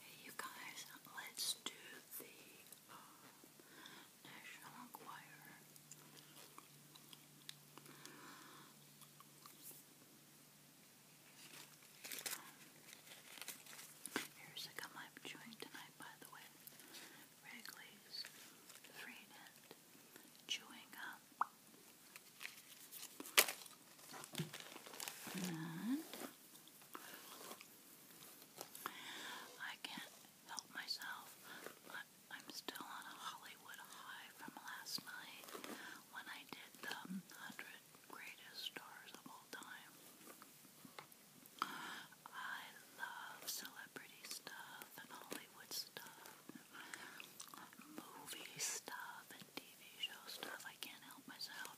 Hey you guys, let's do the uh, National Enquirer. Here's a gum I'm chewing tonight, by the way. Wrigley's Free Chewing Gum. And I can't help myself, I'm still on a Hollywood high from last night when I did the 100 greatest stars of all time. I love celebrity stuff and Hollywood stuff movie stuff and TV show stuff. I can't help myself.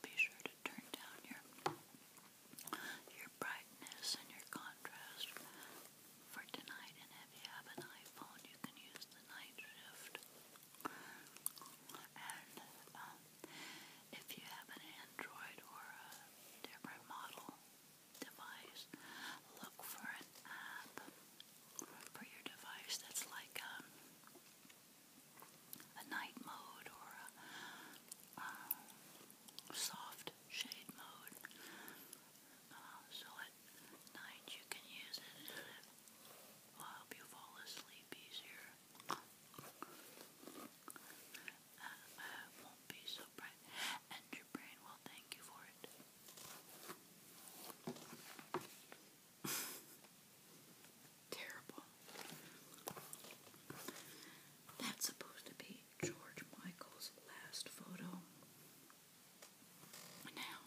Be sure to turn down your your brightness and your contrast for tonight. And if you have an iPhone, you can use the night shift. And um, if you have an Android or a different model, device, look for an app for your device that's like a, um, a night mode or a, a um, soft shade mode. Uh, so at night you can use it and it will help you fall asleep easier um, won't be so bright, and your brain will thank you for it. Terrible. That's supposed to be George Michael's last photo. Now,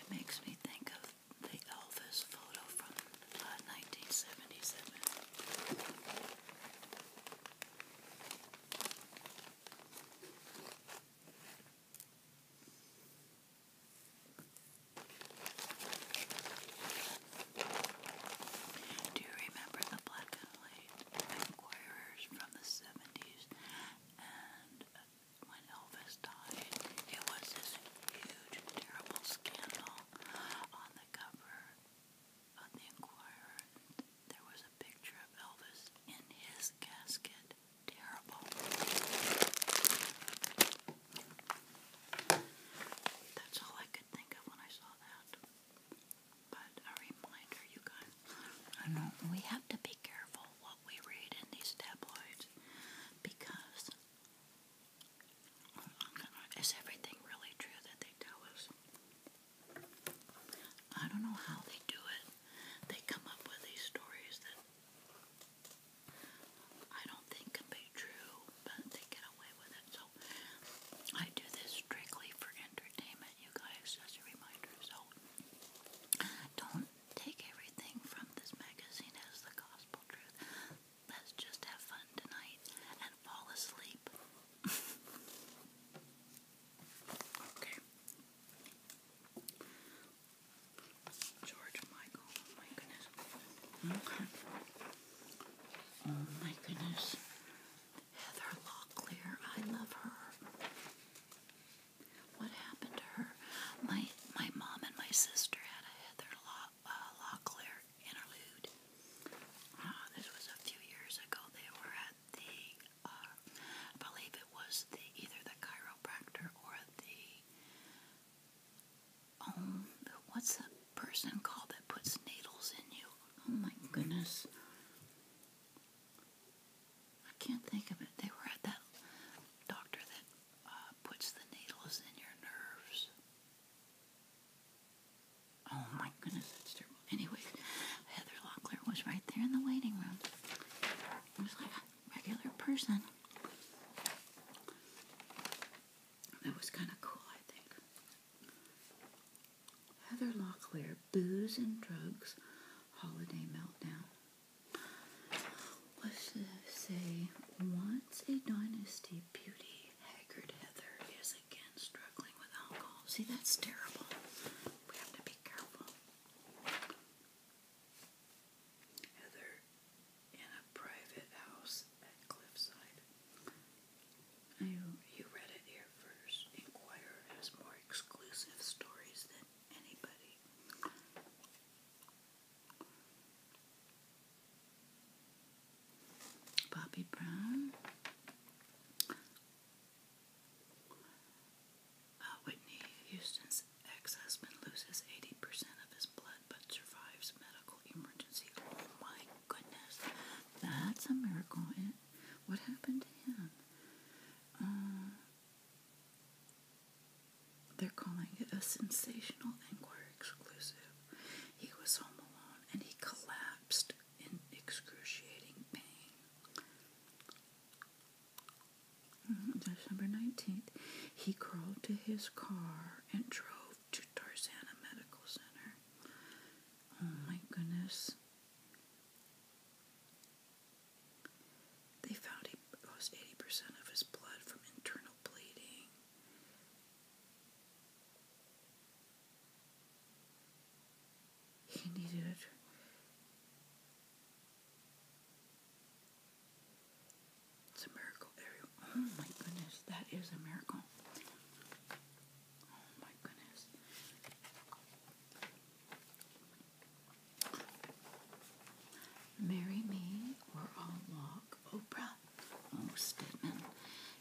it makes me think of the Elvis photo from 1977. Do you remember the black and white Inquirers from the 70s? And uh, when Elvis died, it was this huge, terrible scandal on the cover on the Enquirer, there was a picture of Elvis in his casket. Terrible. That's all I could think of when I saw that. But a reminder, you guys. I know we have to be careful what we read in these tabloids because is everything really true that they tell us? I don't know how they do it. They come up with these stories that I don't think can be true, but they get away with it. So I do this strictly for entertainment, you guys, as a reminder. So don't take everything from this magazine as the gospel truth. Let's just have fun tonight and fall asleep. okay. George Michael, oh my goodness. Oh my goodness. Heather Locklear, I love her. What happened to her? My my mom and my sister had a Heather Law uh, Locklear interlude. this was a few years ago. They were at the, uh, I believe it was either the chiropractor or the, um, what's the person called that puts needles in you? Oh my goodness. I can't think of it. They were at that doctor that uh, puts the needles in your nerves. Oh my goodness, that's terrible. Anyways, Heather Locklear was right there in the waiting room. It was like a regular person. That was kind of cool, I think. Heather Locklear, Booze and Drugs, Holiday Meltdown. What should I say, once a dynasty beauty Haggard Heather is again struggling with alcohol. See, that's terrible. We have to be careful. Heather in a private house at Cliffside. You, you read it here first. Inquirer has more exclusive stories than anybody. Bobby Brown, uh, Whitney Houston's ex-husband loses 80% of his blood but survives medical emergency. Oh my goodness, that's a miracle. what happened to him? Uh, they're calling it a sensational and exclusive. He was home alone and he collapsed in excruciating pain. On mm-hmm, December 19th, he crawled to his car and drove to Tarzana Medical Center. Oh my goodness. They found he lost 80% of his blood from internal bleeding. He needed it. It's a miracle. Oh my goodness, that is a miracle. Oh my goodness. Marry me or I'll walk, Oprah. Oh, Stedman.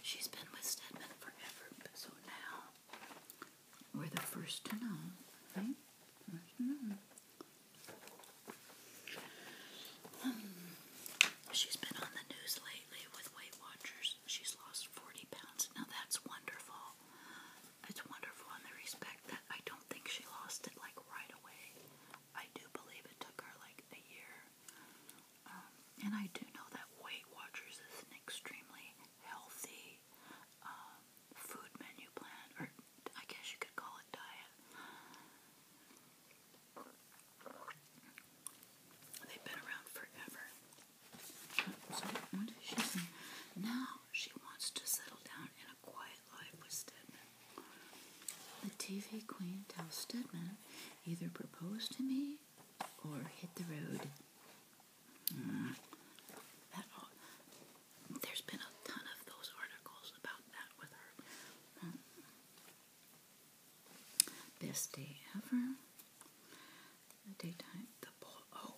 She's been with Stedman forever, so now we're the first to know, right? Hmm. she's been on the news lately with Weight Watchers. She's lost 40 pounds. Now that's wonderful. It's wonderful in the respect that I don't think she lost it like right away. I do believe it took her like a year um, and I do know that Weight Watchers is an extremely healthy um, food menu plan, or I guess you could call it diet. They've been around forever. what did she say? Now she wants to settle down in a quiet life with Stedman. The TV queen tells Stedman either propose to me or hit the road. Mm. there's been a ton of those articles about that with her. Mm. Best day ever. daytime. The Oh,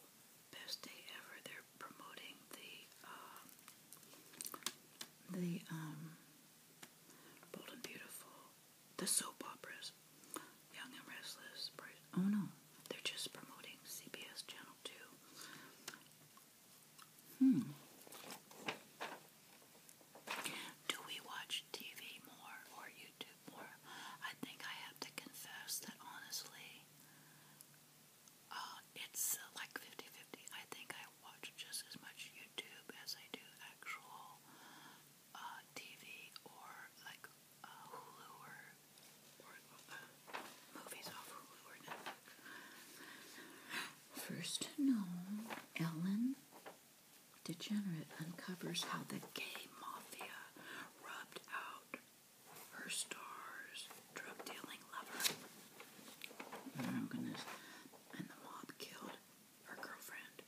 best day ever. They're promoting the um, the um, bold and beautiful the soap operas. Young and Restless. Oh no, they're just promoting CBS Channel 2. Hmm. Do we watch TV more or YouTube more? I think I have to confess that honestly, uh, it's uh, like 50 I think I watch just as much YouTube as I do actual uh, TV or like uh, Hulu or, uh, movies off Hulu or Netflix. First to know, Ellen DeGenerate uncovers how the gay mafia rubbed out her star's drug dealing lover. Oh goodness. And the mob killed her girlfriend.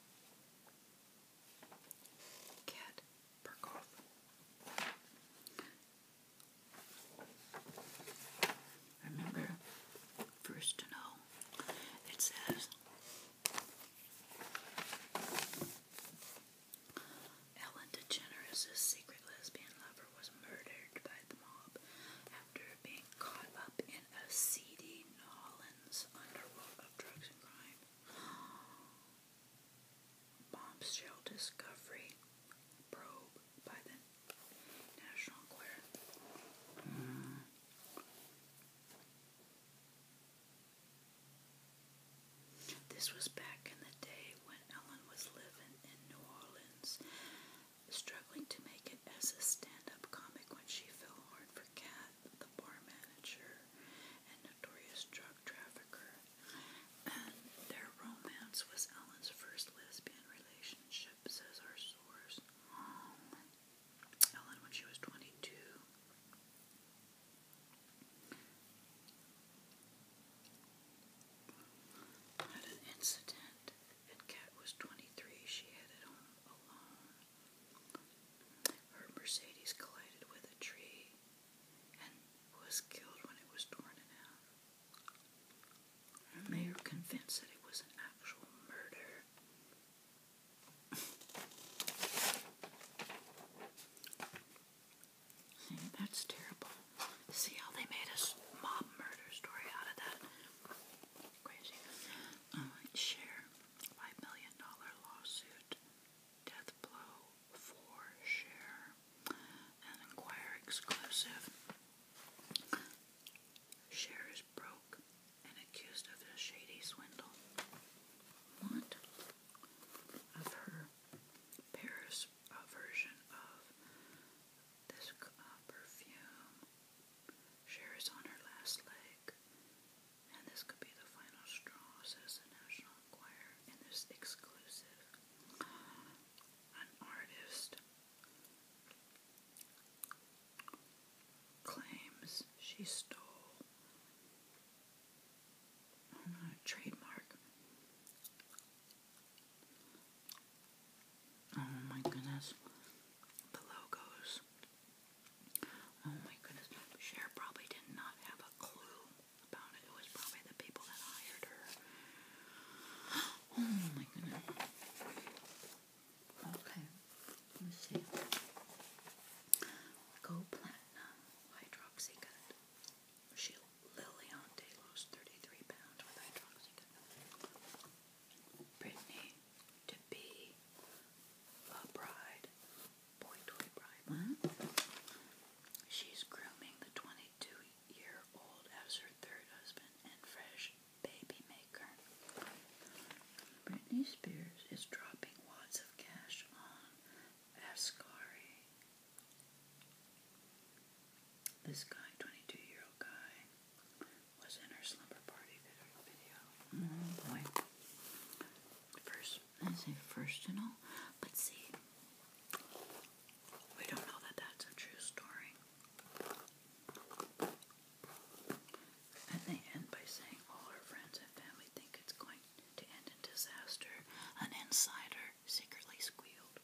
Remember, first to know. It says Ellen DeGeneres' secret lesbian lover was murdered by the mob after being caught up in a seedy, Underworld of Drugs and Crime. Bombshell discovery probe by the National hmm. This was back in the day when Ellen was living in New Orleans, struggling to make it as a stand up comic when she fell hard for cash the bar manager and notorious drug trafficker, and their romance was Ellen's first lesbian relationship, says our source. Ellen, when she was 22. At an incident, and Kat was 23, she headed home alone. Her Mercedes collided with a tree and was killed when it was torn in half. The mayor convinced that it was an actual murder. See, that's terrible. See how they made a mob murder story out of that? Crazy. Um, share five million dollar lawsuit, death blow for share, an Enquirer exclusive. Share is broke and accused of a shady swindle. What of her Paris version of this uh, perfume? Cher on her last leg, and this could be the final straw, says the National Enquirer and this exclusive. artist claims she stole a trademark. Oh my goodness. The logos Oh my goodness, Cher probably did not have a clue about it. It was probably the people that hired her. Oh my goodness. Okay, let's see. Go Platinum She Lily on lost 33 pounds with hydroxycut. Brittany to be a bride, boy toy bride month. She's grooming the 22 year old as her third husband and fresh baby maker. Britney Spears is dropping wads of cash on Ascari. This guy, 22 year old guy, was in her slumber party video. Oh boy. First, I say first and all, but see, we don't know that that's a true story. And they end by saying all her friends and family think it's going to end in disaster. An insider secretly squealed.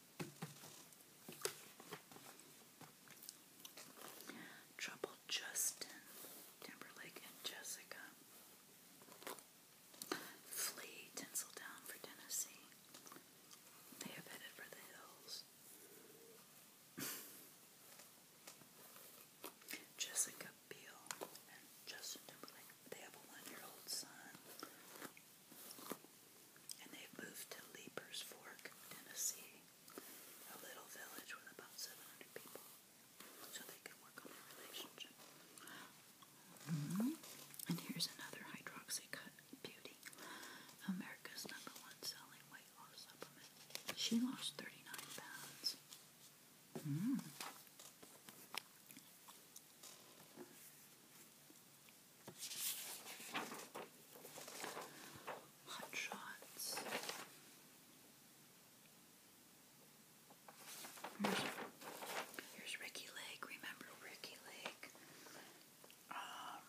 Trouble Justin Timberlake and Jessica. Flee Tinseltown for Tennessee. They have headed for the hills. Jessica Biel and Justin Timberlake. They have a one-year-old son. And they've moved to Leapers Fork, Tennessee a little village with about 700 people so they can work on their relationship. Mm-hmm. And here's another hydroxy beauty. America's number one selling weight loss supplement. She lost 39 pounds. Mm. Here's, Ricky Lake. Remember Ricky Lake? Um,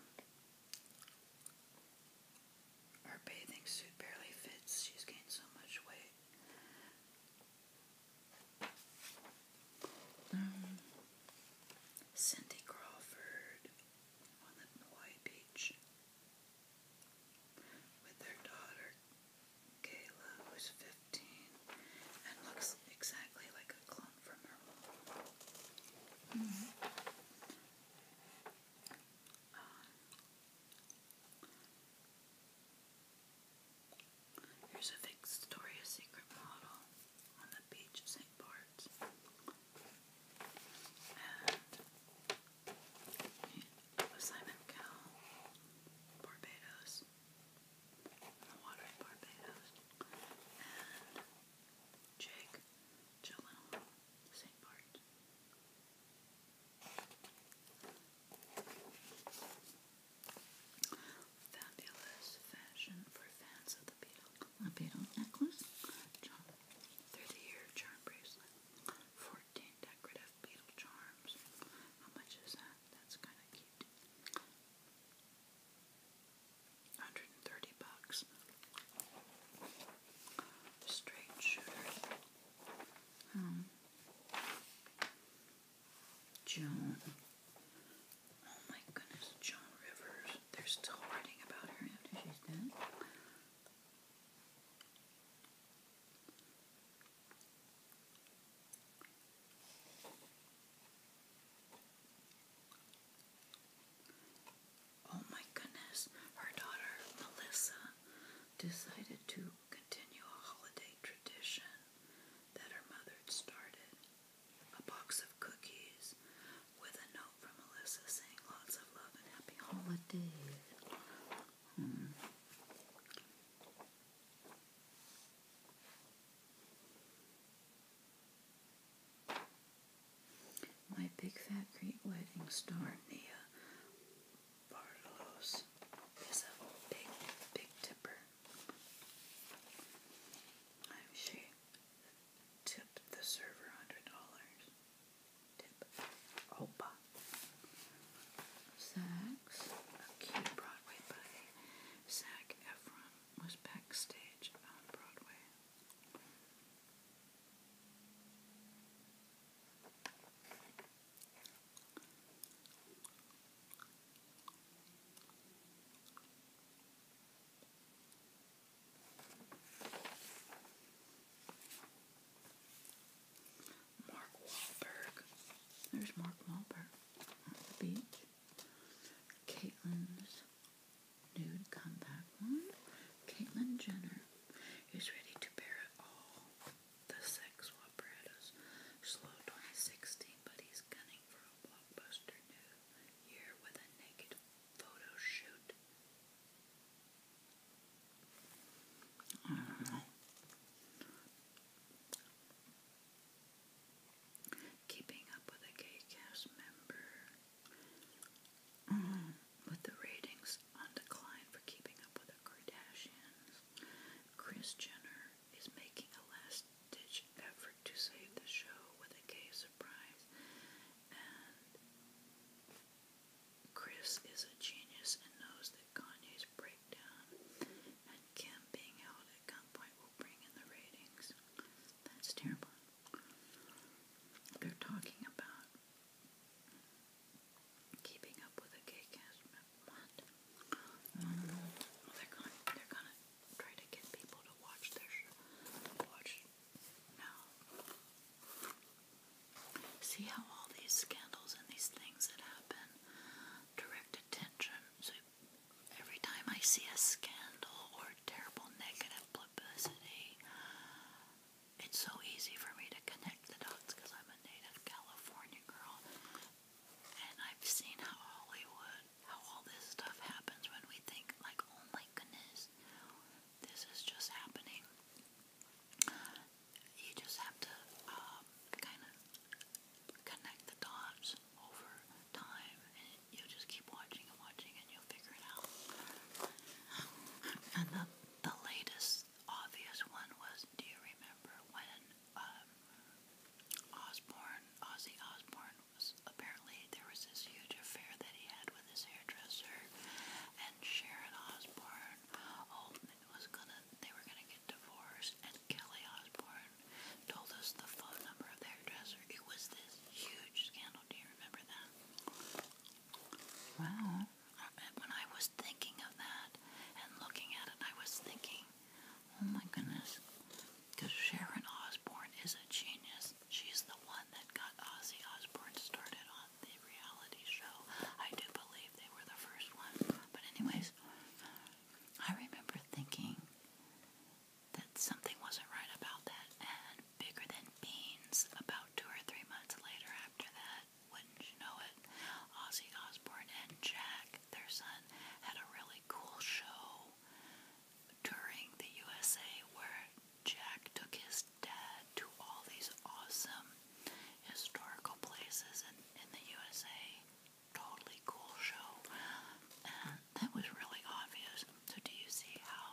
her bathing suit barely fits. She's gained so much weight. Um, Cindy Crawford on the Hawaii beach with their daughter Kayla, who's 15 and looks exactly like a clone from her uh, here's a Victoria's Secret model on the beach of St. Bart's. Simon Cowell, Barbados, water Barbados, and Jake Gyllenhaal, St. Bart. Fabulous fashion for fans of the beetle. A beetle necklace. John. Thirty-year charm bracelet. 14 decorative beetle charms. How much is that? That's kind of cute. 130 bucks. Straight shooter. Um, Joan. Oh my goodness, Joan Rivers. They're still writing about her after she's dead. Oh my goodness, her daughter Melissa decided to continue a holiday tradition that her mother had started. A box of cookies with a note from Melissa saying lots of love and happy holidays. Hmm. My Big Fat Greek Wedding star, Nia Bartolos, is a big, big tipper. I'm she tipped the server $100 dip, Opa. Zax, a cute Broadway play. Zac Efron was backstage on Broadway. Mark Wahlberg. There's Mark Wahlberg on the beach. Caitlyn's nude comeback one. Caitlyn Jenner is ready to bear it all. The sex apparatus slow 2016, but he's gunning for a blockbuster new year with a naked photo shoot. Keeping up with a gay cast member. Mm-hmm. with the ratings on decline for keeping up with the Kardashians, Kris Jenner is making a last ditch effort to save the show with a gay surprise Chris is a genius and knows that Kanye's breakdown and Kim being held at gunpoint will bring in the ratings. That's terrible. They're talking about keeping up with a gay What? they're gonna they're gonna try to get people to watch their show. Watch now. See how all these scandals and these things that happen direct attention. So every time I see a scandal or terrible negative publicity, it's so easy for me to connect the dots because I'm a native California girl. And I've seen how Hollywood, how all this stuff happens when we think, like, oh my goodness, this is just happening. You just have to um, kind of connect the dots over time, and you just keep watching and watching, and you'll figure it out. And the, the latest obvious one was, do you remember when um, Osborne, Ozzy Osborne, was apparently there was this huge affair that he had with his hairdresser, and Sharon Osborne Osbourne. Oh, it was gonna. They were gonna get divorced, and Kelly Osbourne told us the phone number of their dresser. It was this huge scandal. Do you remember that? Wow. When I was thinking of that and looking at it, I was thinking, oh my goodness, because Sharon Osbourne is a genius. She's the one that got Ozzy Osbourne started on on the reality show. I do believe they were the first one. But, anyways, I remember thinking that something wasn't right about that. And bigger than beans, about two or three months later after that, wouldn't you know it, Ozzy Osbourne and Jack, their son, had a really cool show during the USA where Jack took his dad to all these awesome historical places in, in the USA. Totally cool show. And that was really obvious. So, do you see how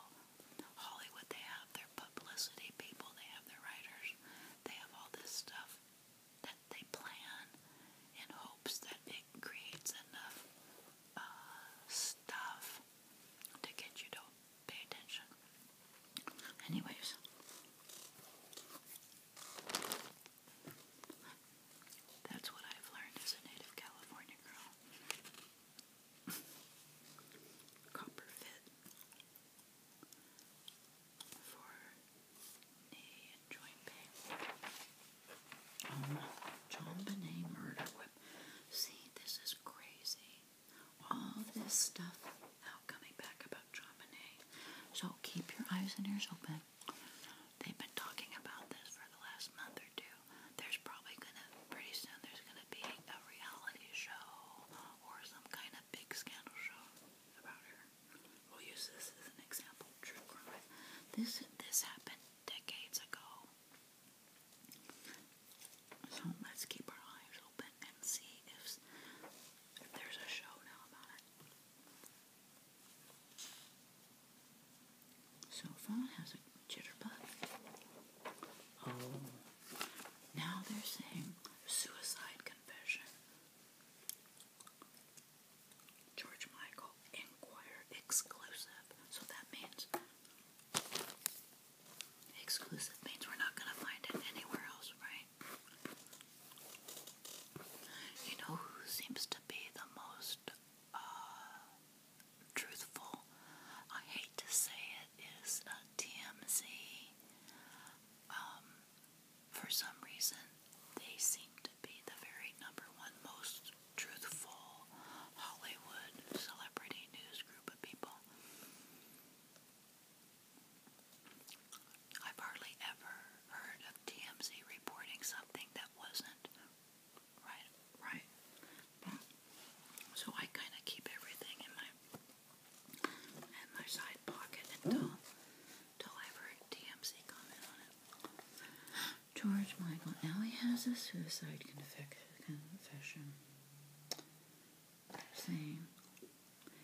Hollywood they have their publicity people, they have their writers, they have all this stuff that they plan in hopes that it creates enough uh, stuff to get you to pay attention. Anyways, that's what I've learned as a native California girl. Copper fit for knee joint pain. Um, John Benet murder whip. See, this is crazy all this stuff out coming back about Chamonix. So keep your eyes and ears open. They've been talking about this for the last month or two. There's probably gonna, pretty soon, there's gonna be a reality show or some kind of big scandal show about her. We'll use this as an example. True crime. This, this happened decades ago. So let's keep our eyes open and see if, if there's a show now about it. So phone has a jitterbug. Oh, now they're saying suicide confession. George Michael Inquirer exclusive. So that means Exclusive means we're not going to find it anywhere else, right? You know who seems to be the most uh, truthful? I hate to say it, is uh, TMZ. Um, for some reason, they seem to be the very number one most truthful Hollywood celebrity news group of people. I've hardly ever heard of TMZ reporting something that wasn't right, right. So I kind of keep everything in my in my side pocket until until I've TMZ comment on it. George Michael now he has a suicide confession saying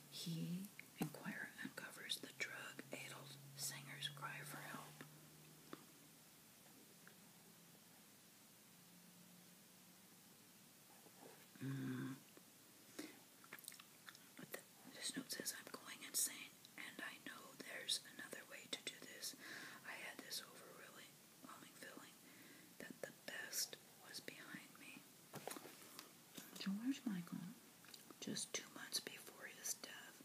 he inquirer uncovers the drug addled singer's cry for help. Mm. this note says, I'm going insane, and I know there's another way to do this. I had this overwhelming feeling that the best was behind me. George Michael, just two months before his death,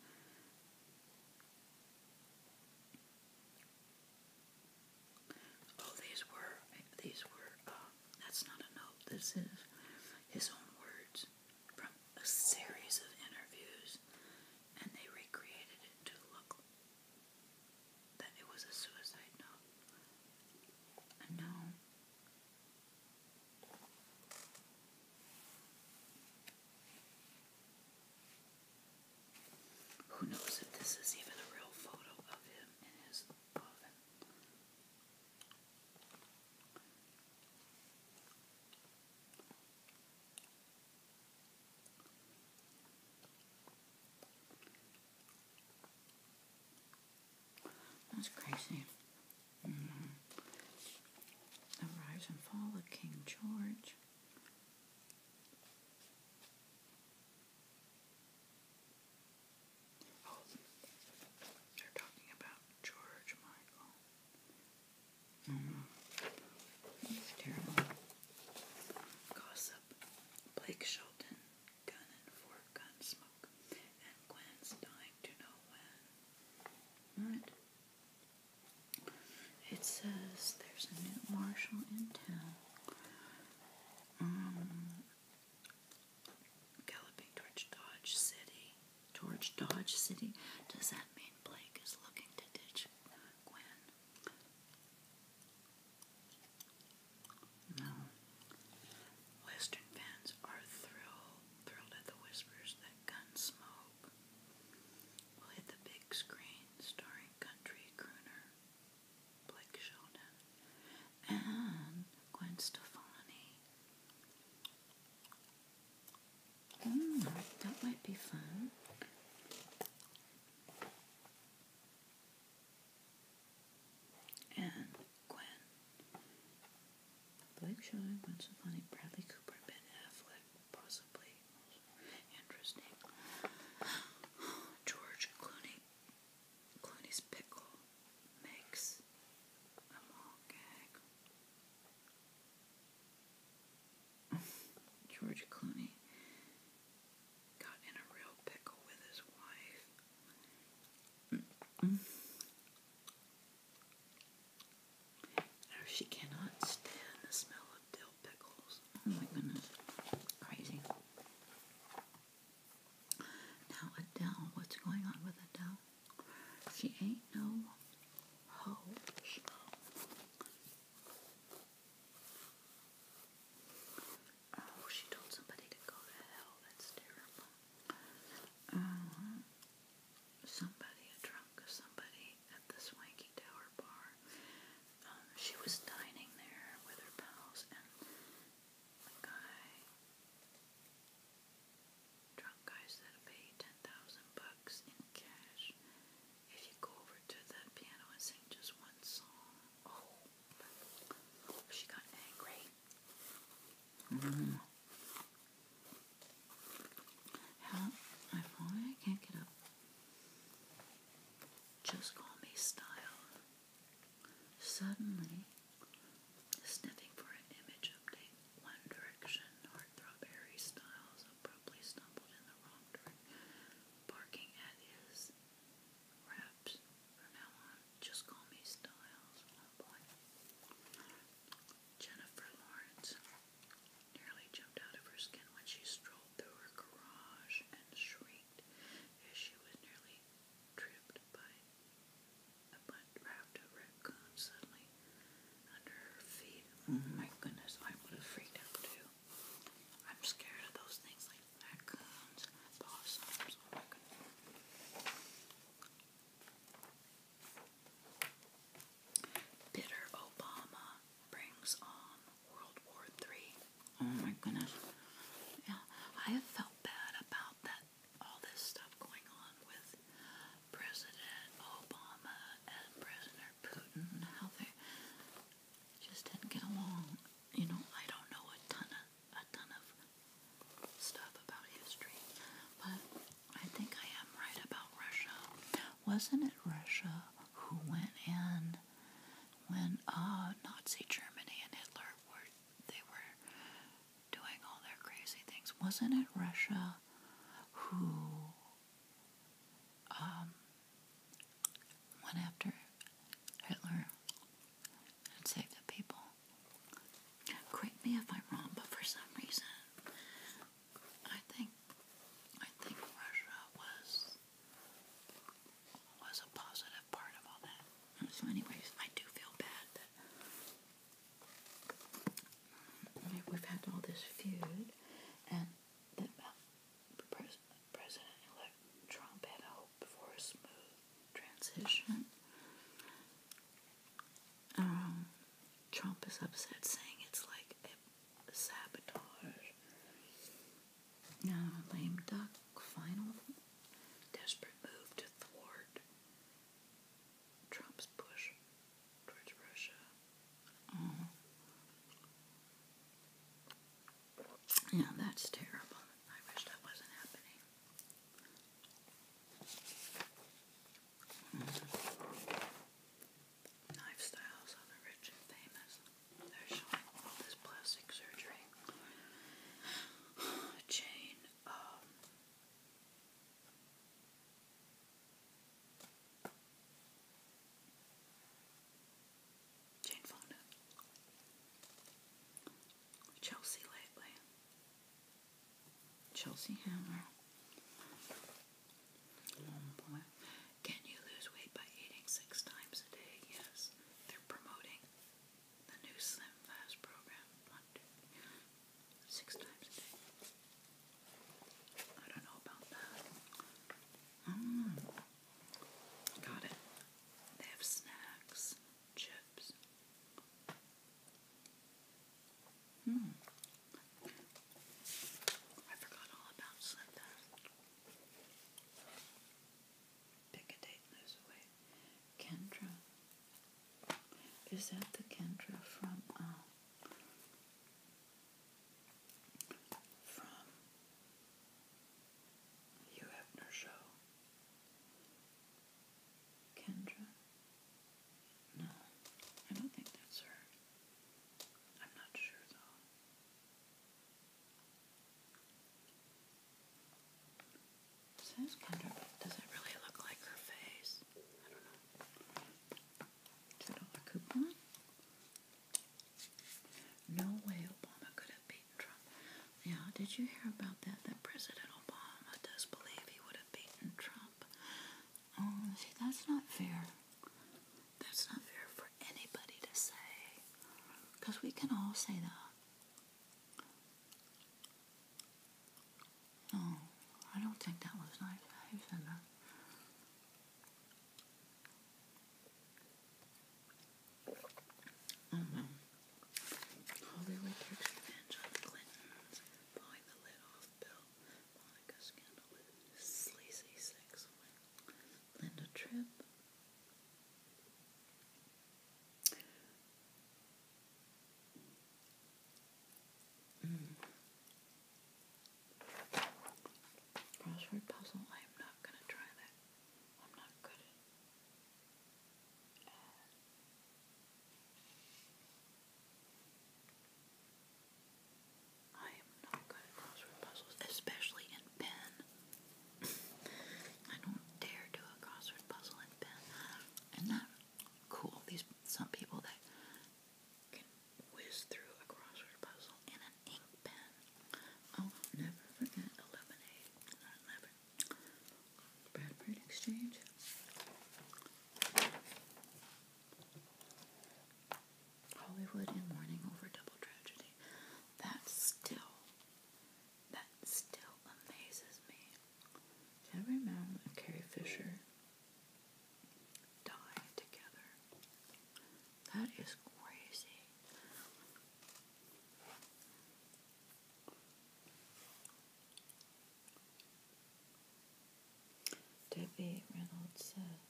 Oh, these were, these were, uh, that's not a note, this is his own words from a series of interviews, and they recreated it to look that it was a suicide note. And now who knows if this is even a real photo of him in his coffin? That's crazy. Mm-hmm. The Rise and Fall of King George. Oh, they're talking about George Michael. Mm-hmm. That's terrible. Gossip. Blake Shelton. It says there's a new marshal in town. Um, galloping towards Dodge City. Towards Dodge City? Does that mean Blake is looking to ditch Gwen? No. Western fans are thrilled, thrilled at the whispers that Gunsmoke will hit the big screen starring country crooner Blake Shelton and Gwen Stefani. Mm, that might be fun and Gwen. Blake Shelton, Gwen Stefani, Bradley Cooper, Ben Affleck, possibly interesting. George Clooney, Clooney's pickle makes a mall gag. George Clooney got in a real pickle with his wife. she cannot stand the smell of dill pickles. Oh my goodness. Crazy. Now, Adele, what's going on with Adele? She ain't no hoe. Oh, she told somebody to go to hell. That's terrible. Uh, somebody, a drunk somebody at the Swanky Tower bar. Um, she was dining there with her pals, and a guy, drunk guy, said, "Pay ten thousand bucks in cash if you go over to the piano and sing just one song." Oh, she got angry. Mm. How? I can't get up. Just call me Style. Suddenly, sniffing for an image update, One Direction heartthrob Harry Styles abruptly stumbled in the wrong direction, barking at wraps from now on. Just call me Styles. Oh, Jennifer Lawrence nearly jumped out of her skin when she strolled through her garage and shrieked as she was nearly tripped by a raft of raccoons suddenly under her feet. Oh my goodness, I would have freaked out too. I'm scared of those things oh my goodness. Bitter Obama brings on World War III. Oh my goodness. Yeah, I have felt bad about that, all this stuff going on with President Obama and President Putin, how they just didn't get along. You know, I don't know a ton of a ton of stuff about history, but I think I am right about Russia. Wasn't it Russia who went in when uh, Nazi Germany and Hitler were they were doing all their crazy things? Wasn't it Russia who um, went after Hitler and save the people. Correct me if I'm wrong, but for some reason, I think I think Russia was was a positive part of all that. So, anyways, I do feel bad that um, we've had all this feud, and that uh, president Trump had hoped for a smooth transition. Um, Trump is upset, saying it's like a sabotage. Uh, lame duck, final desperate move to thwart Trump's push towards Russia. Uh-huh. Yeah, that's terrible. I wish that wasn't happening. Knife styles the rich and famous. they this plastic surgery. chain, um, Jane Fonda. Chelsea lately. Chelsea Hammer. Oh boy. Can you lose weight by eating six times a day? Yes. They're promoting the new Slim Fast program. One, two, six times a day. I don't know about that. Mm. Got it. They have snacks chips. Hmm. I forgot all about Slither. Pick lose away. Kendra. Is that the Kendra from uh, from Hugh Hefner show. Kendra? No, I don't think that's her. I'm not sure though. says Kendra, does it really look like her face? I don't know. Two dollar coupon? No way Obama could have been beaten Trump. Yeah, did you hear about that? That President Obama does believe he would have beaten Trump. Um, see, that's not fair. That's not fair for anybody to say. Because we can all say that. No, I don't think that was nice. I said that. Hollywood oh, takes revenge on the the lid off Bill Monica's scandal sleazy sex Linda Tripp. Mm. Crossword puzzle, I am not gonna try that. I'm not good I am not good at crossword puzzles, especially in pen. I don't dare do a crossword puzzle in pen. And that cool. These some people that can whiz through a crossword puzzle in an ink pen. Oh, never forget eliminate. I'll never Bradford Exchange. Hollywood in mourning over double tragedy. That still, that still amazes me. Deborah Mount and Carrie Fisher die together. That is crazy. Debbie Reynolds said,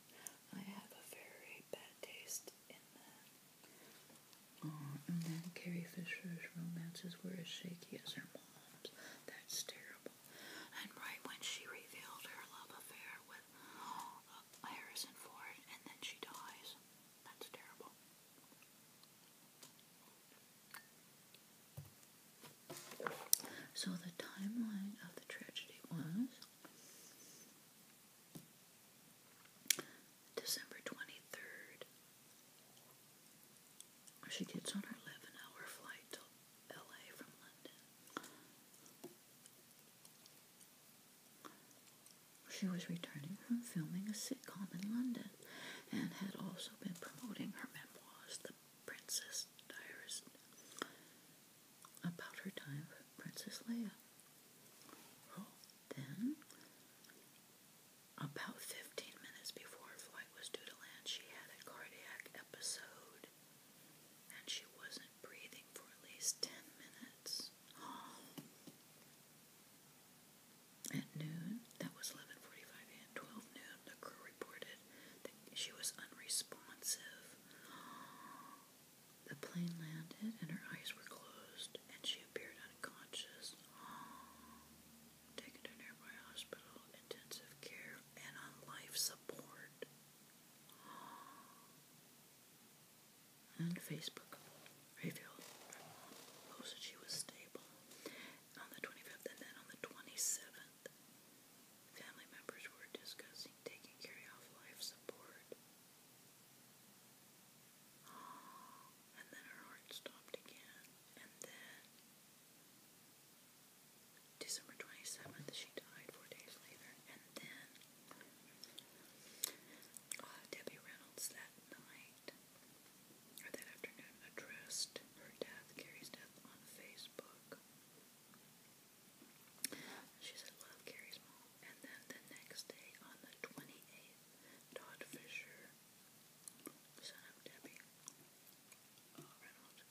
I have a very bad taste in men. Oh, and then Carrie Fisher's romances were as shaky as her mom's. That's terrible. And right when she revealed her love affair with uh, Harrison Ford, and then she dies. That's terrible. So the timeline of the tragedy was December 23rd. She gets on her 11 hour flight to LA from London. She was returning from filming a sitcom in London and had also been promoting her memoirs, The Princess Diarist, about her time with Princess Leia. then, about 15 minutes before her flight was due to land, she had a cardiac episode and she wasn't breathing for at least 10 minutes. At noon, that was 11:45 and 12 noon, the crew reported that she was unresponsive. The plane landed and her eyes were closed and she appeared unconscious. Taken to nearby hospital, intensive care, and on life support and Facebook. Raphael posted she was stable on the 25th, and then on the 27th, family members were discussing taking Carrie off life support. and then her heart stopped again, and then December 27th, she died four days later, and then uh, Debbie Reynolds that night or that afternoon, addressed her death, Carrie's death, on Facebook. She said, Love Carrie's mom. And then the next day, on the 28th, Todd Fisher, son of Debbie uh, Reynolds,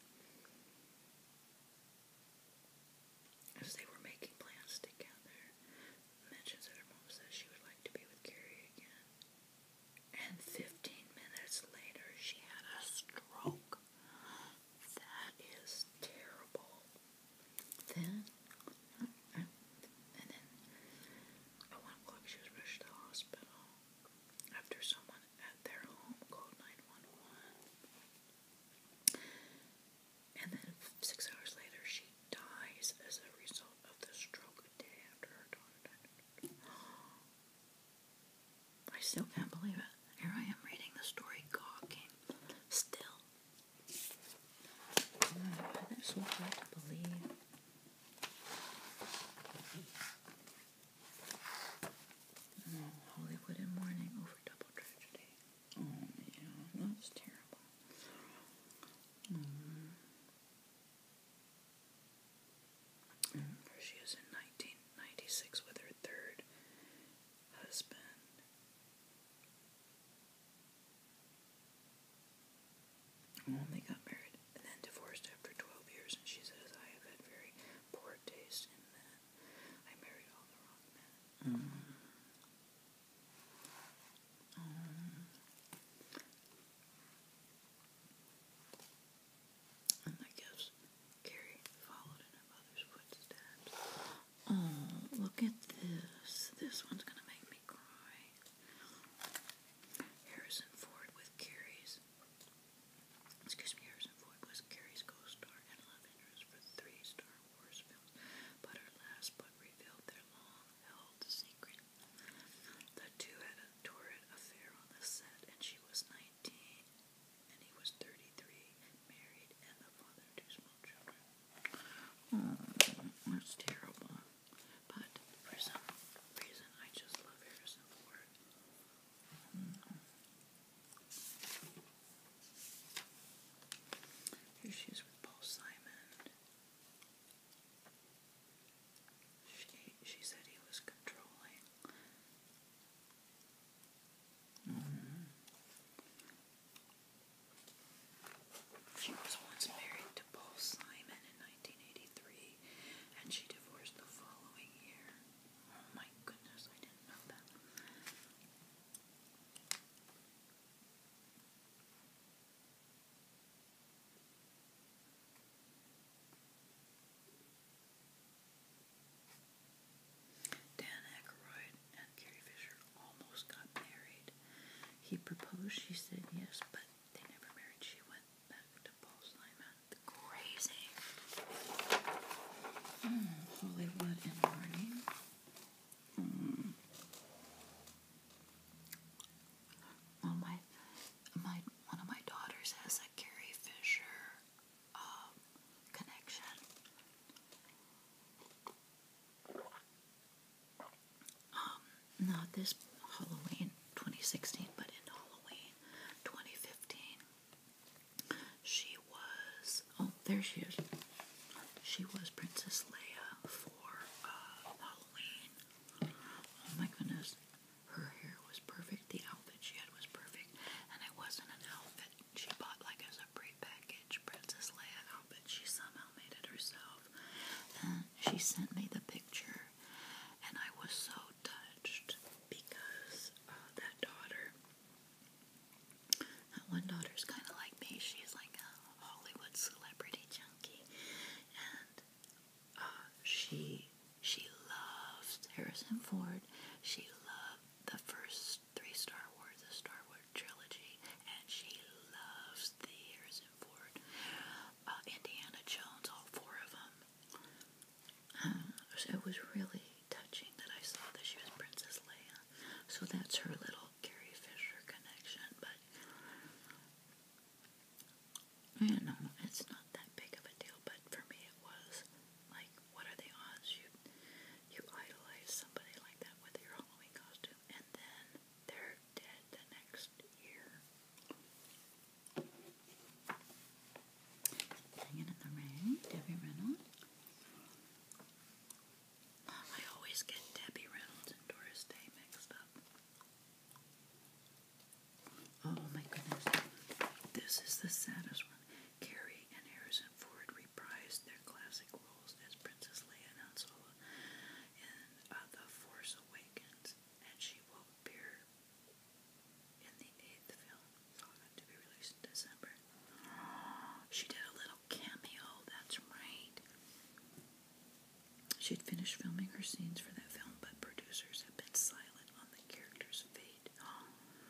as they were making plans together, mentions that her mom says she would like to be with Carrie again. And 15 minutes later, she had a stroke. That is terrible. Then, and then, at 1 o'clock, she was rushed to the hospital after someone at their home called 911. And then, six hours later, she dies as a result of the stroke a day after her daughter died. I still can't believe it. Here I am reading the story gawking. Still. Oh, why that's to believe. Mm, Hollywood in mourning over double tragedy. Oh, yeah, that's terrible. Mm. She is in 1996 with her third husband. Well, got married and then divorced after 12 years, and she says, I have had very poor taste in men. I married all the wrong men. Mm-hmm. Um, and Oh, look at this. This one's gonna make me cry. Harrison Ford with Carrie's. Excuse me, Harrison Ford was Carrie's co-star and love interest for three Star Wars films, but her last book revealed their long-held secret the two had a torrid affair on the set, and she was 19 and he was 33, married, and the father two small children. Hmm, that's terrible. But for some reason, I just love Harrison Ford. Here she is with Paul Simon. She she said he was controlling. Mm-hmm. She was once married to Paul Simon in 1983, and she divorced the following year. Oh my goodness, I didn't know that. Dan Aykroyd and Carrie Fisher almost got married. He proposed, she said yes, but they never married. She went back to Paul Simon. Crazy. Hmm, Hollywood in mourning. Hmm. One of my, my one of my daughters has a Carrie Fisher um, connection. Um, not this Halloween 2016, but in Halloween 2015, she was. Oh, there she is. She was Princess Leia for uh, Halloween. Oh my goodness. Her hair was perfect. The outfit she had was perfect. And it wasn't an outfit she bought like as a pre-packaged Princess Leia outfit. She somehow made it herself. And she sent me the picture. And I was so touched because uh, that daughter, that one daughter's kind of like me. She's like a Hollywood celebrity junkie. And uh, she she loves Harrison Ford. She loved the first three Star Wars, the Star Wars trilogy, and she loves the Harrison Ford, uh, Indiana Jones, all four of them. Um, it was really touching that I saw that she was Princess Leia. So that's her little Carrie Fisher connection, but I don't know, it's not that big of a deal, but for me it was like, what are the odds you you idolize somebody like that with your Halloween costume, and then they're dead the next year? Singing in the Rain, Debbie Reynolds. I always get Debbie Reynolds and Doris Day mixed up. Oh my goodness. This is the saddest one. Carrie and Harrison Ford reprised their classic roles as Princess Leia and Han Solo in uh, The Force Awakens, and she will appear in the eighth film, to be released in December. She did a little cameo, that's right. She'd finished filming her scenes for that film, but producers have been silent on the character's fate.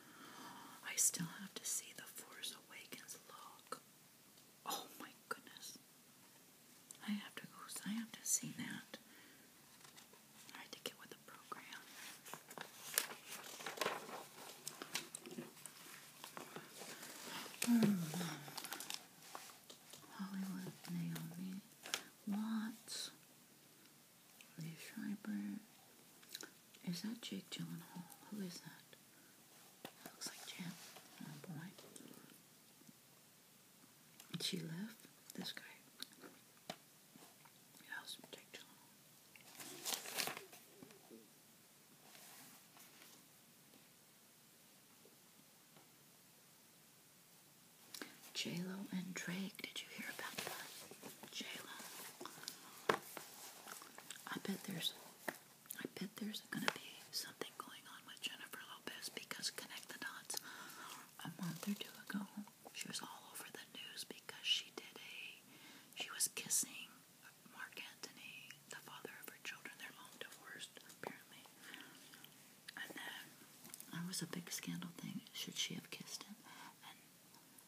I still have to see the Force Awakens look. Oh my goodness. I have to go, I have to see that. I had to with the program. Hmm. Hollywood Naomi Watts, Lee Schreiber. Is that Jake Gyllenhaal? Who is that? looks like Jim. Oh boy. She left this guy. That was Jake Gyllenhaal. J-Lo and Drake. Did you hear about that? J-Lo. I bet there's I bet there's gonna be something going on with Jennifer Lopez because connect the dots. A month or two ago, she was all over the news because she did a she was kissing Mark Antony, the father of her children. They're long divorced, apparently. And was a big scandal thing. Should she have kissed him? And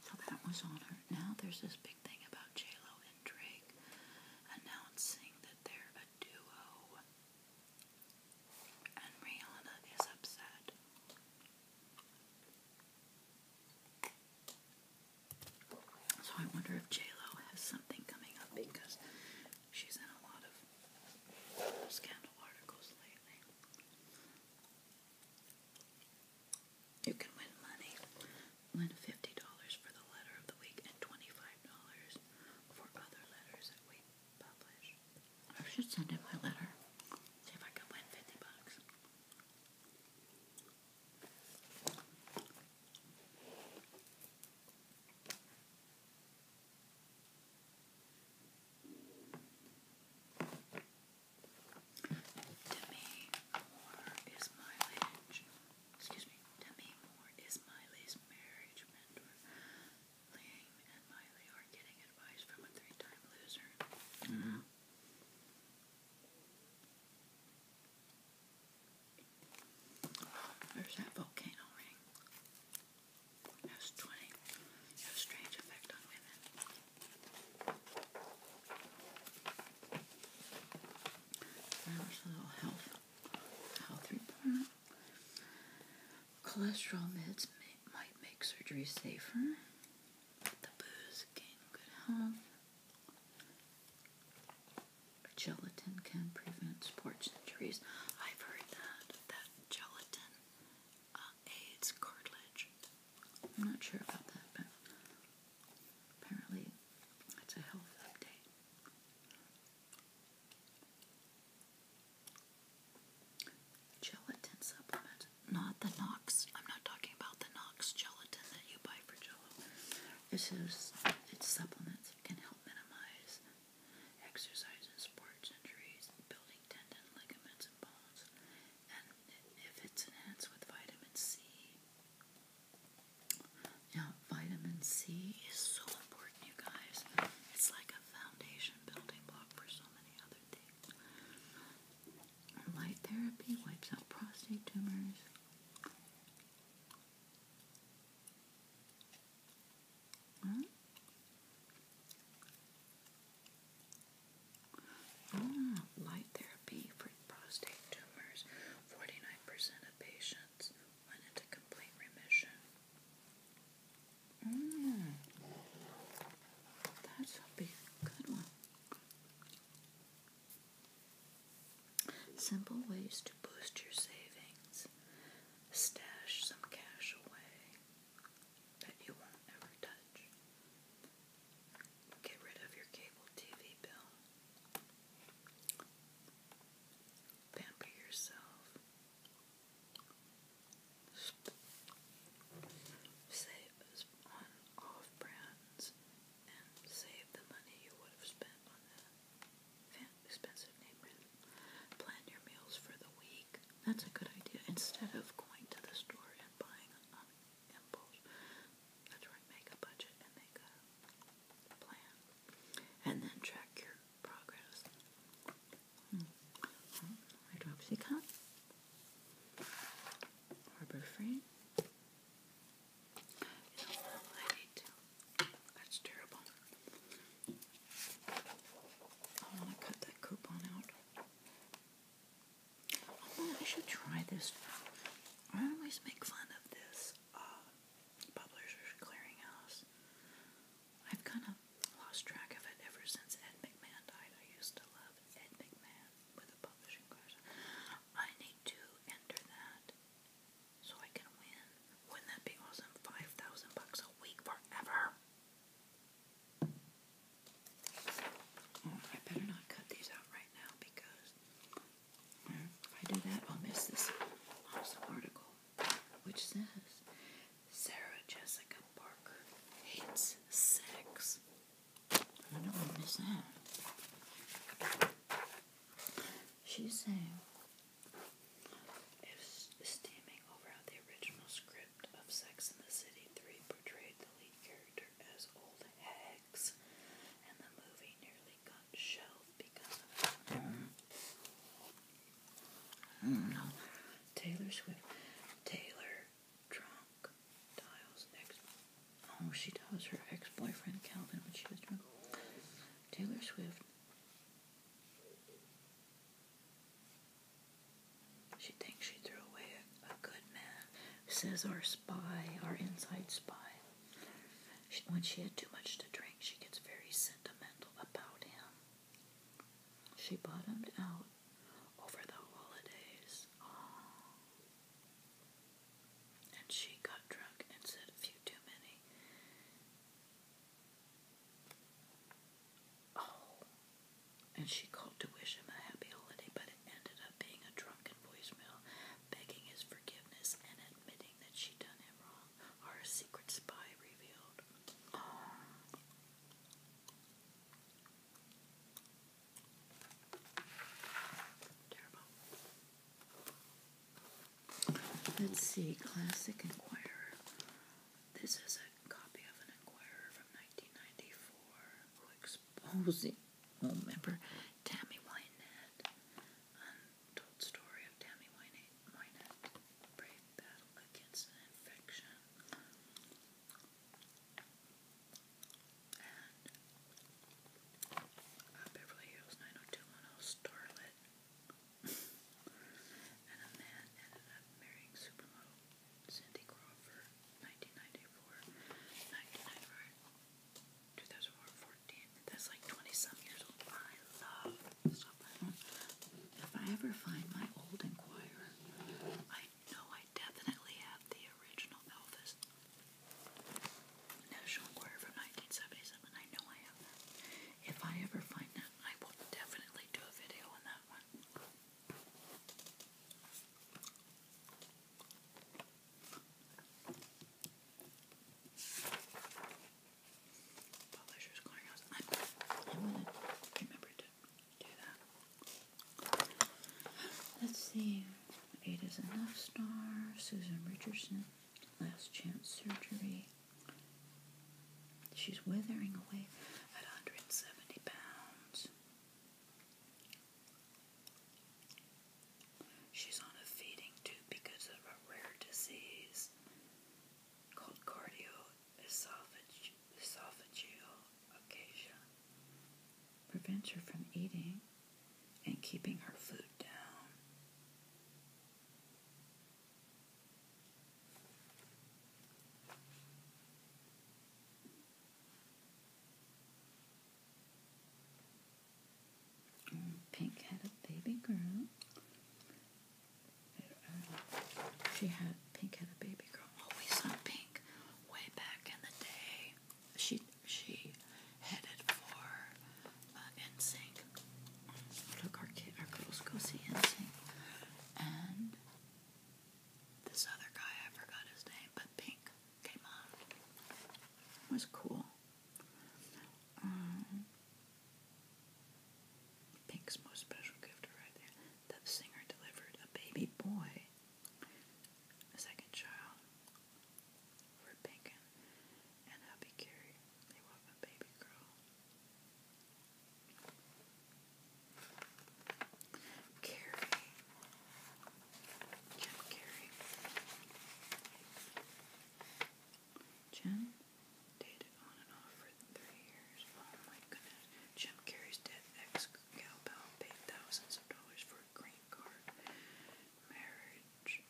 so that was on her. Now there's this big thing about J-Lo and Drake announcing that they're a duo. And Rihanna is upset. So I wonder if J-Lo has something coming up because she's in a lot of scandal articles lately. You can win money. Win $50 for the letter of the week and $25 for other letters that we publish. I should send in my letter. See if I can win 50 bucks. Demi Moore is my ledge. Excuse me. Demi Moore is Miley's marriage Liam and Miley are getting advice from a three-time loser. Mm-hmm. There's that volcano ring. has 20. has strange effect on women. There's a little health, health report. Cholesterol meds might make surgery safer. The booze gain good health gelatin can prevent sports injuries. I've heard that that gelatin uh, aids cartilage. I'm not sure about that, but apparently it's a health update. Gelatin supplement, not the Knox. I'm not talking about the Knox gelatin that you buy for Jello. This is it's supplements can help minimize Exercise and sports injuries, building tendons, ligaments, and bones, and if it's enhanced with vitamin C. Now, vitamin C is so important, you guys. It's like a foundation building block for so many other things. Light therapy wipes out prostate tumors. Ah, light therapy for prostate tumors. 49% of patients went into complete remission. Hmm. That's a big, good one. Simple ways to boost your savings stash some cash away that you won't ever touch. Get rid of your cable TV bill. Pamper yourself. Save on off brands and save the money you would have spent on that. Plan your meals for the week. That's a good idea. Instead of going to the store and buying um, impulse, that's Make a budget and make a plan, and then track your progress. Hmm. Hmm. Hydroxycut, Harbor Free. That's terrible. I want to cut that coupon out. Oh, I should try this. I always make fun of this uh, publisher's clearinghouse. I've kind of lost track of it ever since Ed McMahon died. I used to love Ed McMahon with a publishing course. I need to enter that so I can win. Wouldn't that be awesome? 5,000 bucks a week forever. I better not cut these out right now because if I do that, I'll miss this awesome article, which says Sarah Jessica Parker hates sex. I don't know, miss that. She's saying steaming over how the original script of Sex and the City 3 portrayed the lead character as old hags, and the movie nearly got shelved because of it. No. Hmm. Oh, Taylor Swift. Taylor Drunk Dials ex. Oh, she dials her ex boyfriend Calvin when she was drunk. Taylor Swift she thinks she threw away a, good man. Says our spy, our inside spy. when she had too much to drink, she gets very sentimental about him. She bottomed out over the holidays. And she got drunk and said a few too many. Oh, and she called to wish him a happy holiday, but it ended up being a drunken voicemail begging his forgiveness and admitting that she'd done him wrong. Our secret spy revealed. Terrible. Let's see, Classic Enquirer. This is a copy of an Enquirer from 1994 exposing a member Tammy Wynette. Untold story of Tammy Wynette. Brave battle against an infection. And uh, Beverly Hills 90210 Starlet and a man ended up marrying supermodel Cindy Crawford, 1994, 2014. That's like 20 years old. I love stuff like If I ever find my old Inquirer, I know I definitely have the original Elvis. National Enquirer from 1977. I know I have that if I ever find that, I will definitely do a video on that one. I'm, gonna remember to do that. Let's see. Eight enough star. Susan Richardson. Last chance surgery. She's withering away at 170 pounds. She's on a feeding tube because of a rare disease called cardioesophageal esophageal acacia. Prevents her from eating and keeping her food down. Pink had a baby girl. She had Pink had a baby girl. Oh, Always on Pink, way back in the day. She she headed for uh, Look, our kid, our girls go see NSYNC, and this other guy I forgot his name, but Pink came on. was cool. Um, Pink's most special gift right there. The singer delivered a baby boy, a second child, for Pink and Happy Carrie. They want a baby girl. Carrie. Jen Carrie. Jen dated on and off for three years. Oh my goodness. Jim Carrey's dead ex-gal paid thousands of dollars for a green card. Marriage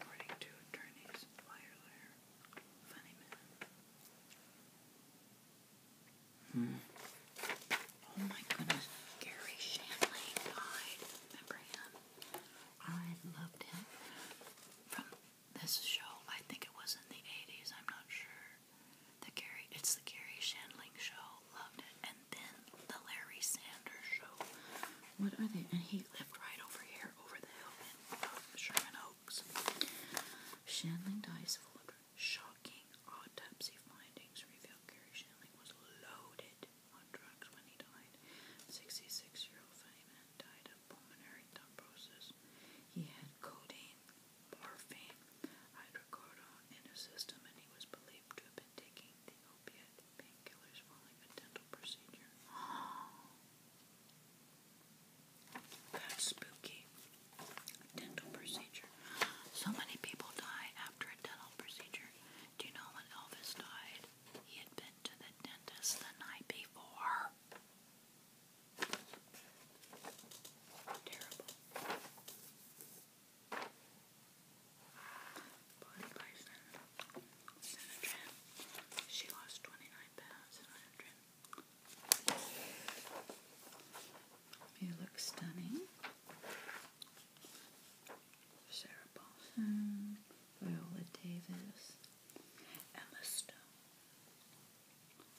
according to attorneys, liar, funny man. Hmm. Oh my goodness, Gary Shanley died. Remember him? I loved him from this show. I think it was in the '80s. I'm not sure. The Gary, it's the Gary Shandling show. Loved it, and then the Larry Sanders show. What are they? And he he lived right over here, over the hill in Sherman Oaks. Shanling dies full of shocking autopsy findings revealed Gary Shanling was loaded on drugs when he died. 66-year-old Feynman died of pulmonary thrombosis. He had codeine, morphine, hydrocodone in his system, and he was believed to have been taking the opiate painkillers following a dental procedure. Oh, that's spooky. Dental procedure. So many people die after a dental procedure. Do you know when Elvis died? He had been to the dentist the night before. Terrible. Bison. She lost 29 pounds in 100. stunning. Sarah Paulson, Viola Davis, Emma Stone,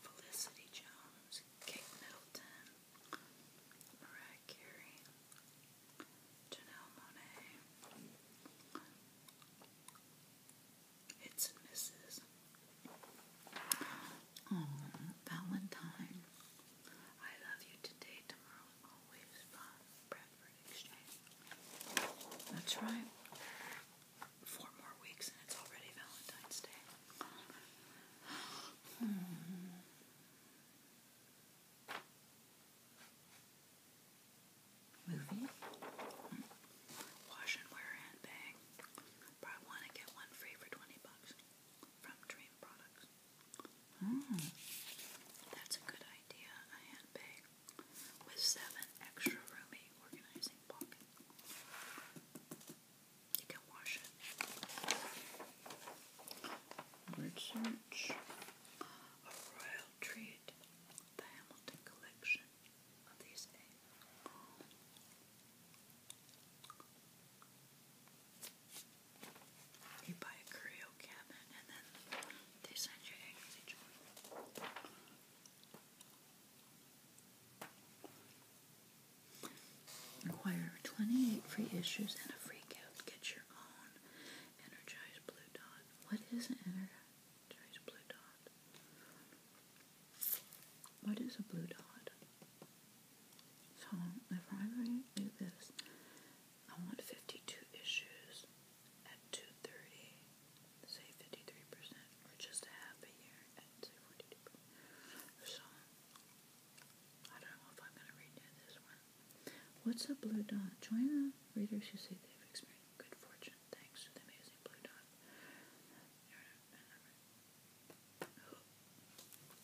Felicity Jones, Kate Middleton, Mariah Janelle Monet, hits and Valentine. I love you today, tomorrow, and always from Exchange. That's right. Four more weeks and it's already Valentine's Day. Hmm movie. Wash and wear handbag. Probably want to get one free for 20 bucks from Dream Products. Mm. That's a good idea, a handbag with seven extra roomy organizing pockets. You can wash it. Word A royal treat. The Hamilton Collection. You buy a curio cabinet and then they send you eggs each one. Acquire 28 free issues and a free gift. Get your own Energized Blue Dot. What is an Energized what is a blue dot? So if I really this, I want 52 issues at 230, say 53%, or just a half a year at say So I don't know if I'm going to redo this one. What's a blue dot? Join the readers who say they've experienced good fortune thanks to the amazing Blue Dot.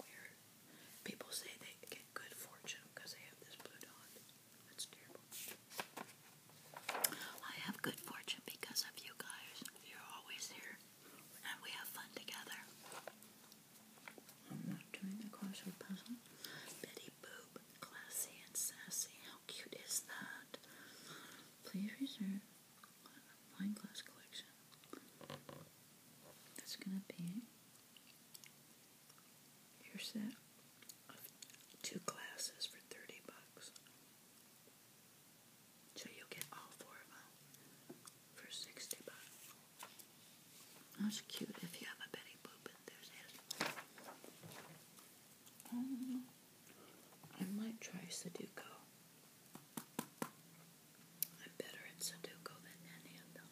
Weird. People say they get good fortune because they have this Blue Dot. That's terrible. I have good fortune because of you guys. You're always here. And we have fun together. I'm not doing the crossword puzzle. Betty Boo Classy and sassy. How cute is that? Please reserve wine glass collection. That's gonna be your set of two glasses for thirty bucks. So you'll get all four of them for sixty bucks. That's cute if you have a Betty Boop enthusiast. Um, I might try Sudoku. I'm better at Sudoku than any of them.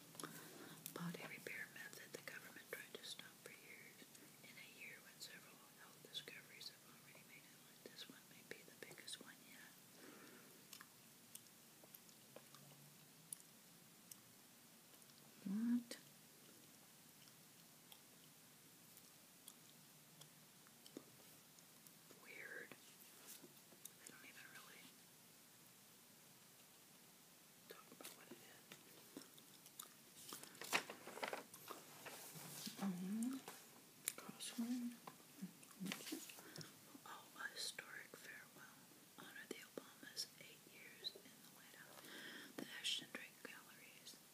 Body repair method the government tried to stop for years. In a year when several health discoveries have already made it, this one may be the biggest one yet. What? Weird. They don't even really talk about what it is. Mm-hmm. Mm-hmm. Oh, historic farewell. Honor the Obamas' eight years in the White House. The Ashton Drake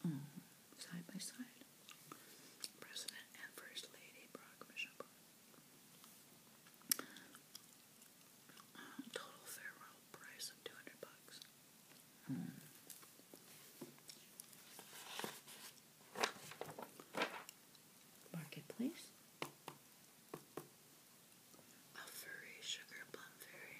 Mm, side by side. President and First Lady uh, total farewell price of 200 bucks. Hmm. Marketplace. A furry sugar plum fairy.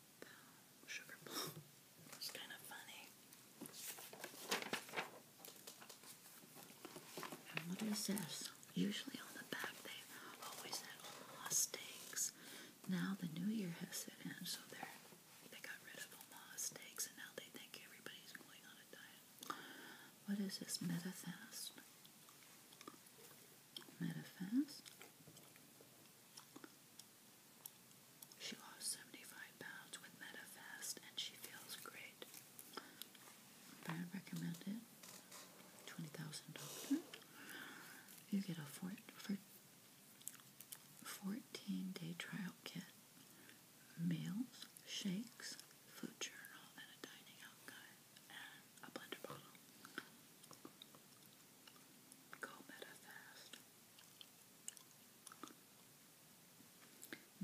sugar bowl. It's kind of funny. what is this? Usually on the back they always had Omaha steaks. Now the new year has set in, so they're they got rid of Omaha steaks, and now they think everybody's going on a diet. What is this Metafast? Metafast? She lost 75 pounds with MetaFast and she feels great. Brand recommended $20,000. You get a four, day trial kit, meals, shakes, food journal, and a dining out guide, and a blender bottle. Go MetaFast.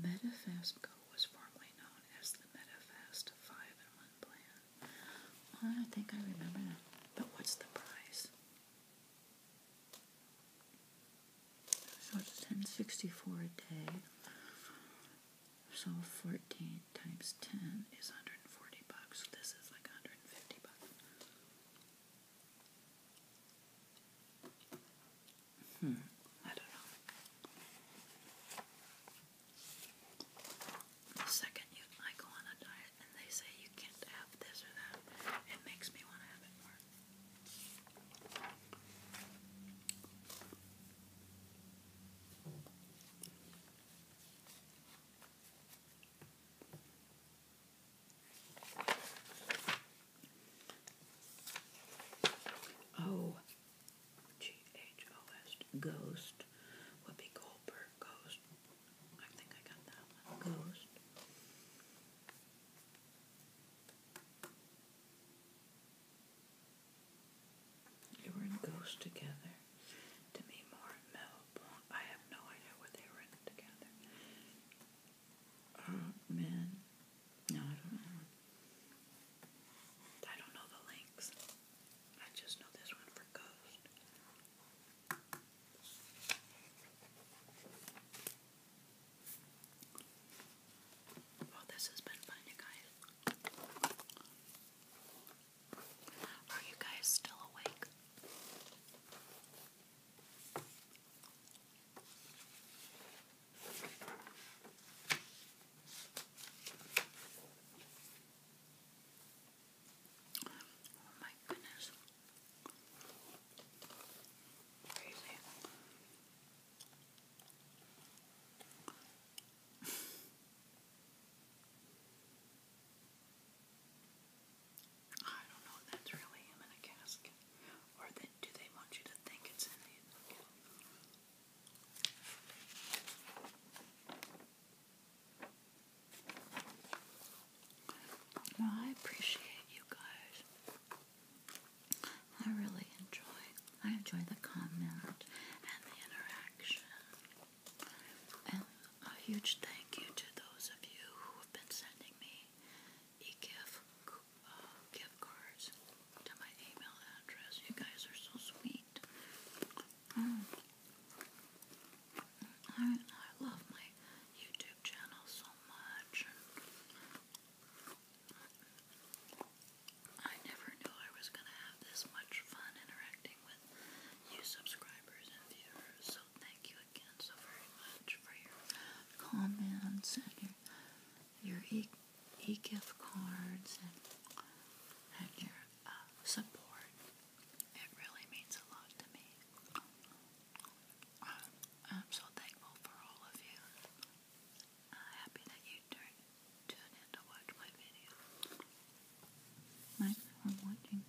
MetaFastGo was formerly known as the MetaFast 5-in-1 plan. Oh, I think I remember that. But what's the price? So it's 1064 a day. So 14 times 10 is 140 bucks. This is like 150 bucks. Hmm, I don't know. The second you go on a diet and they say you can't have this or that, it makes me want to have it more. O G H O S Ghost Whoopi Goldberg Ghost. I think I got that one. Ghost. They were in Ghost together. Demi Moore and Mel I have no idea what they were in together. Oh, man. No, I don't know. I don't know the links. I just know this one for Ghost. Well, this has been fun, you guys. Are you guys still awake? Oh my goodness. Crazy. I don't know if that's really in a casket. Or do they want you to think it's in the Well, I appreciate you guys. I really enjoy. I enjoy the comment and the interaction. And a huge thank you to those of you who have been sending me e-gift uh, cards to my email address. You guys are so sweet. Mm. Mm, I love my YouTube channel so much. I never knew I was going to have this much fun interacting with you subscribers and viewers, so thank you again again so very much for your comments and your your e, e gift cards and your uh, support. It really means a lot to me. Uh, I'm, so thankful for all of you. Uh, happy that you turned tune in to watch my video. Thanks for watching.